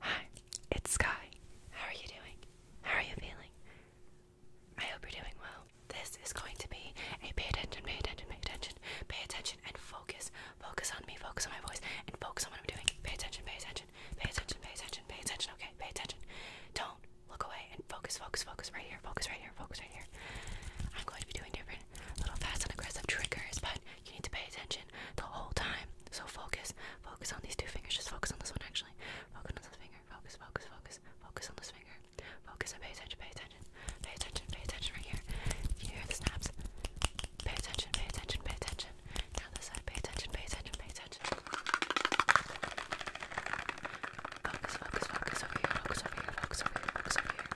Hi, it's Sky. How are you doing? How are you feeling? I hope you're doing well. This is going to be a pay attention, pay attention, pay attention, pay attention, and focus. Focus on me, focus on my voice, and focus on what I'm doing. Pay attention, pay attention, pay attention, pay attention, pay attention, okay? Pay attention. Don't look away and focus, focus, focus right here, focus right here, focus right here. I'm going to be doing different little fast and aggressive triggers, but you need to pay attention the whole time. So focus, focus on these two fingers. Just focus on this one, actually. Focus on this finger. Focus, focus, focus. Focus on this finger. Focus and pay attention, pay attention, pay attention, pay attention right here. You hear the snaps. Pay attention, pay attention, pay attention. Now this side, pay attention, pay attention, pay attention. Focus, focus, focus over here, focus over here, focus over here, focus over here.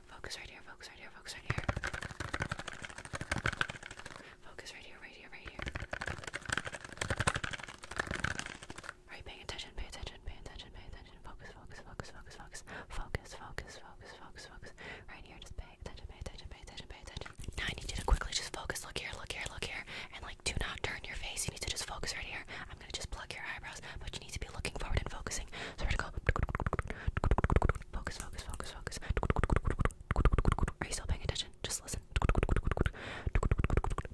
Focus right here, focus right here, focus right here. Focus right here, right here, right here. Are you paying attention? Pay attention, pay attention, pay attention. Focus, focus, focus, focus, focus. Focus, focus, focus, focus, focus. Right here, just pay attention, pay attention, pay attention, pay attention. Now I need you to quickly just focus. Look here, look here, look here. And like, do not turn your face. You need to just focus right here. I'm gonna just pluck your eyebrows, but you need to be looking forward and focusing. So we're gonna go. Focus, focus, focus, focus. Are you still paying attention? Just listen.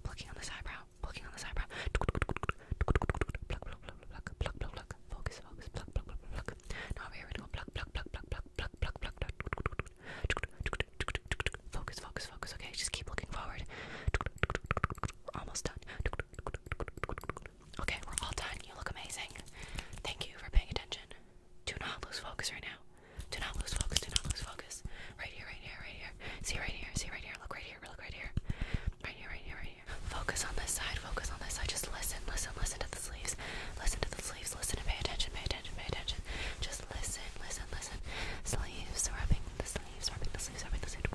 Plucking on this eyebrow. Plucking on this eyebrow. Pluck, pluck, pluck, pluck, pluck, pluck, pluck. Focus, focus, pluck, pluck, pluck, pluck. Now we're gonna go pluck, pluck, pluck, pluck, pluck, pluck, pluck, pluck. Focus, focus, focus. Okay, just keep looking forward. We're almost done. Okay, we're all done. You look amazing. Thank you for paying attention. Do not lose focus right now. Do not lose focus. Do not lose focus. Right here, right here, right here. See right here. See right here. Look right here. Look right here. Right here, right here, right here. Focus on this side. Focus on this side. Just listen, listen, listen to the sleeves. Listen to the sleeves. Listen and pay attention. Pay attention. Pay attention. Just listen, listen, listen. Sleeves rubbing the sleeves. Rubbing the sleeves. Rubbing the sleeves.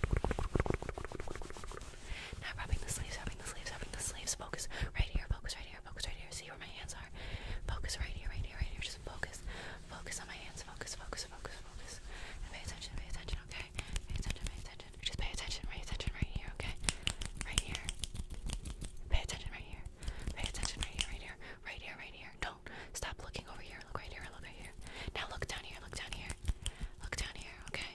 Not rubbing the sleeves, rubbing the sleeves, rubbing the sleeves. Focus right here, focus right here, focus right here. See where my hands are. Focus right here, right here, right here. Just focus. Focus on my hands. Focus, focus, focus, focus. And pay attention, pay attention, okay? Pay attention, pay attention. Just pay attention, pay attention right here, okay? Right here. Pay attention right here. Pay attention right here, right here, right here, right here. Don't stop looking over here. Look right here, look right here. Now look down here, look down here. Look down here, okay?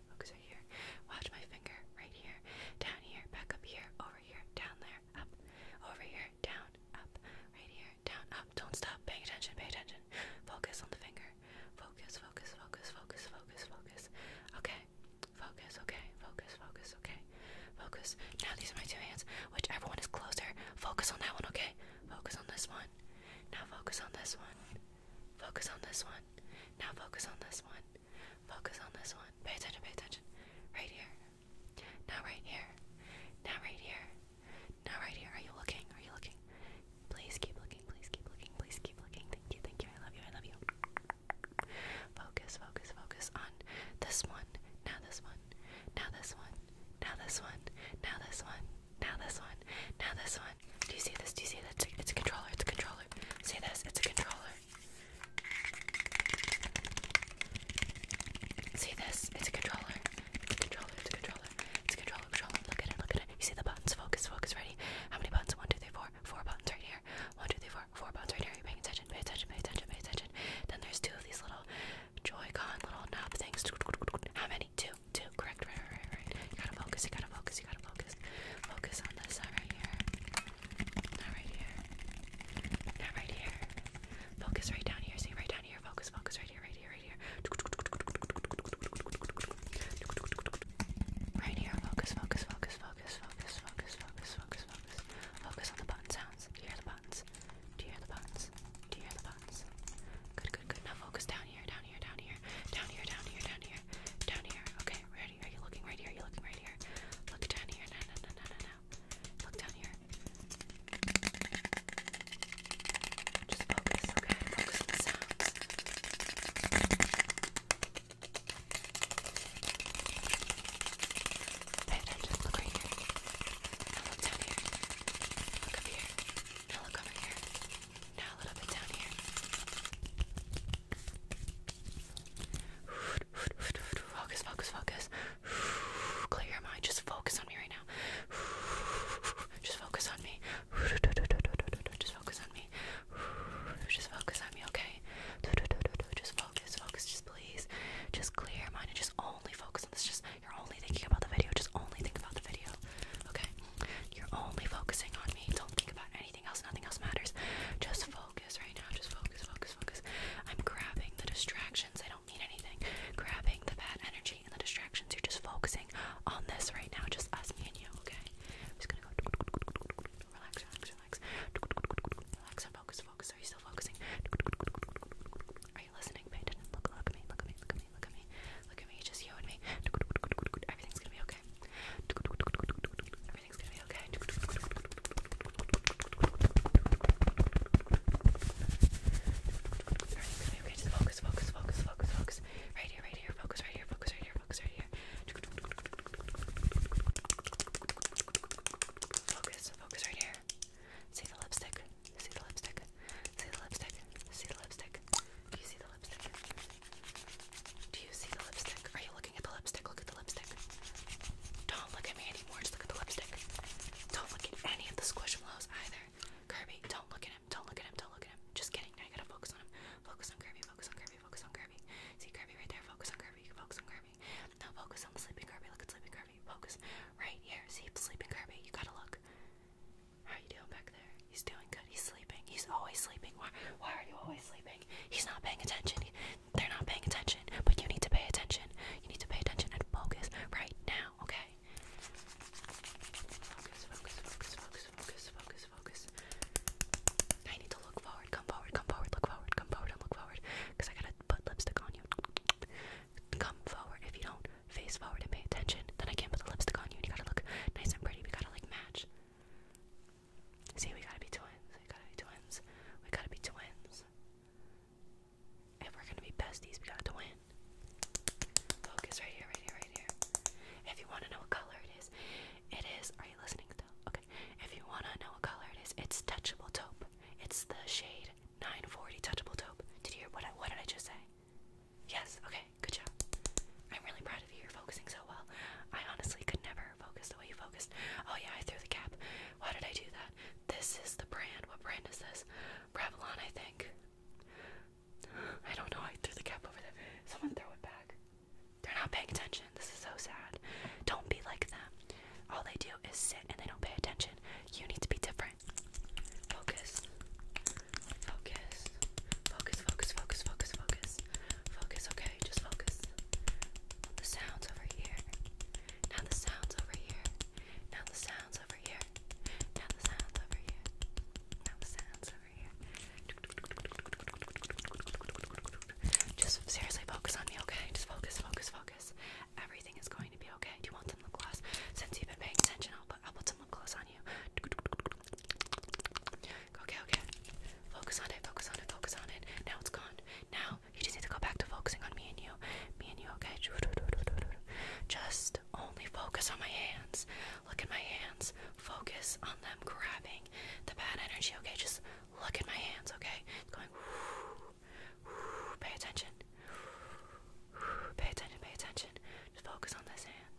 focus right here. Watch my finger right here, down here, back up here, over here, down there, up, over here, down, up, right here, down, up. Don't stop. Pay attention, pay attention. Focus on the finger. Focus, focus, focus, focus, focus, focus. Okay. Focus, okay, focus, focus, okay. Focus. Now these are my two hands. Whichever one is closer, focus on that one, okay? Focus on this one. Now focus on this one. Focus on this one. Now focus on this one. Focus on this one. Pay attention, pay attention. Right here. Now right here. Now right here. Now right here. Are you looking? Are you looking? Please keep looking. Please keep looking. Please keep looking. Thank you. Thank you. I love you. I love you. Focus, focus, focus on this one. Now this one. Now this one. Now this one. Now this one. Now this one. Now this one. Do you see this? Do you see that? It's a, it's a controller. It's a controller. See this? It's a controller. See this? It's a controller. It's a controller. It's a controller. It's a controller. Controller. Look at it. Look at it. You see the buttons? Focus. Focus. Ready? How many buttons? One, two, three, four. Four buttons right here. One, two, three, four. Four buttons right here. Are you paying attention? Pay attention. Pay attention. Pay attention. Then there's two of these little Joy-Con little knob things. How many? Two two, correct, right, right, right, right. You gotta focus, you gotta focus, you gotta focus. Focus on this side right here. Not right here. Not right here. Focus right down here. See right down here. Focus, focus right here, right here, right here. Right here, focus, focus, focus, focus, focus, focus, focus, focus, focus. Focus on the button sounds. Do you hear the buttons? Do you hear the buttons? Do you hear the buttons? Good, good, good. Now focus down here, down here, down here, down here, down here, down here, down here. Okay, ready? Are you looking right here? Are you looking right here? Look down here. No, no, no, no, no, no. Look down here. Just focus, okay? Focus on the sounds. Pay attention. Look right here. Now look down here. Look up here. Now look over here. Now a little bit down here. Focus, focus, focus. Clear your mind. Just focus on me right now. Just focus on me. Just focus on me. Just focus on me, okay? Just focus, focus, just please. Just clear your mind and just only focus on this. Just you're only thinking about the video. Just only think about the video. Okay. You're only focusing on me. Don't think about anything else. Nothing else matters. Just focus right now. Just focus, focus, focus. I'm grabbing the distractions. I don't mean anything. Grabbing the bad energy and the distractions. You're just focusing on this right now. Just us, me, and you, okay? I'm just gonna go. Relax, relax, relax. Relax and focus, focus. Are you still focusing? Are you listening? Pay attention. Look at me. Look at me me, look at me, look at me, just you and me. Everything's gonna be okay. Everything's gonna be okay. Everything's gonna be okay. Just focus, focus, focus, focus, focus. Right here, right here, focus, right here, focus, right here, focus, right here. Focus, focus right here. See the lipstick. See the lipstick. See the lipstick. See the lipstick. Do you see the lipstick? Do you see the lipstick? Are you looking at the lipstick? Look at the lipstick. Don't look at me anymore. Just look at the lipstick. Don't look at any of the squishmallows either. Kirby, don't look at him. Don't look at him. Don't look at him. Just kidding. Now you gotta focus on him. Focus on Kirby. Focus on Kirby. Focus on Kirby. See Kirby right there. Focus on Kirby. You focus on Kirby. Now focus on the sleeping Kirby. Look at sleeping Kirby. Focus right here. See the sleeping Kirby. You gotta look. How you doing back there? He's doing good. He's sleeping. He's always sleeping. Why why are you always sleeping? He's not paying attention. they're not paying attention. But you need to pay attention. You need to pay attention and focus right now, okay? Focus, focus, focus, focus, focus, focus, focus. I need to look forward, come forward, come forward, look forward, come forward, and forward. Because I gotta put lipstick on you. Come forward. If you don't face forward and pay attention, then I can't put the lipstick on you. you gotta look nice and pretty. Because gotta like match. See, we gotta be twins. We gotta be twins. We gotta be twins. If we're gonna be besties, we gotta twin. Focus right here, right here, right here. If you wanna know what color it is, it is. Are you listening though? Okay. If you wanna know what color it is, it's touchable taupe. It's the shade 940 touchable taupe. Did you hear what I, what did I just say? Yes, okay, good job. I'm really proud of you. You're focusing so well. I honestly could never focus the way you focused. Oh, yeah, I threw the cap. Why did I do that? This is the brand. What brand is this? Revlon, I think. I don't know. I threw the cap over there. Someone throw it back. They're not paying attention. This is so sad. Don't be like them. All they do is sit and they don't pay attention. You need to be different. Focus. Focus. Focus, focus, focus, focus, focus. Focus, okay? Just focus. The sounds over here. Now the sounds over here. Now the sounds over here. Now the sounds over here. Now the sounds over here. Just seriously focus on me, okay? Just focus, focus, focus. Everything is going to be okay. Do you want some lip gloss? Since you've been paying attention, I'll I'll put some lip gloss on you. Okay, okay. Focus on it, focus on it, focus on it. Now it's gone. Now you just need to go back to focusing on me and you. Me and you, okay? Just only focus on my hands. Look at my hands. Focus on them grabbing the bad energy, okay? Just look at my hands, okay? going. Pay attention. Pay attention, pay attention. Just focus on this hand.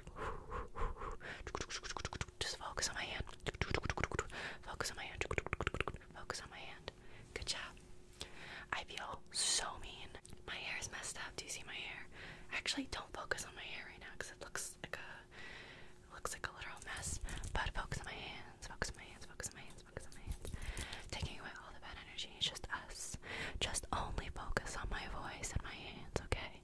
Just focus on my hand. Focus on my hand. Focus on my hand. Good job. I feel so mean. My hair is messed up. Do you see my hair? Actually, don't focus on my hair right now because it looks like a it looks like a literal mess. But focus on my hands. Focus on my hands. Focus on my hands. Focus on my hands. Taking away all the bad energy. It's just us. Just only focus on my voice and my hands. Okay.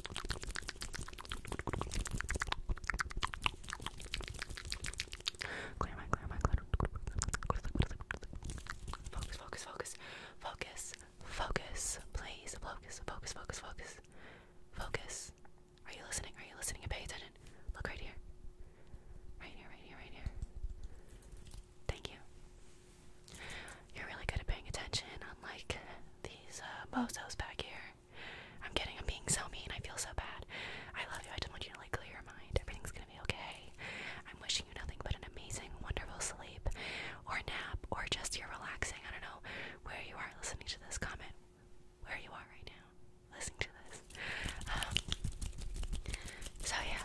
Clear my, clear my, clear. Focus, focus, focus, focus, focus. Please, focus, focus, focus, focus, focus. Are you listening? Are you listening? And pay attention. Look right here. Right here, right here, right here. Thank you. You're really good at paying attention, unlike these uh, back here. I'm kidding, I'm being so mean, I feel so bad. I love you, I just want you to like clear your mind. Everything's gonna be okay. I'm wishing you nothing but an amazing, wonderful sleep, or nap, or just you relaxing. I don't know where you are listening to this comment, where you are right now, listening to this. Um, so yeah,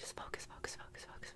just focus, focus, focus, focus,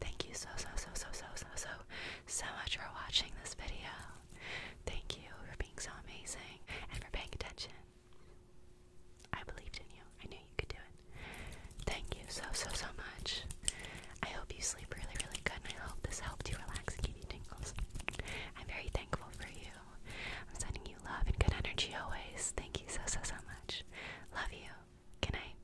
Thank you so so so so so so so so much for watching this video. Thank you for being so amazing and for paying attention. I believed in you. I knew you could do it. Thank you so so so much. I hope you sleep really really good and I hope this helped you relax and give you tingles. I'm very thankful for you. I'm sending you love and good energy always. Thank you so so so much. Love you. Good night.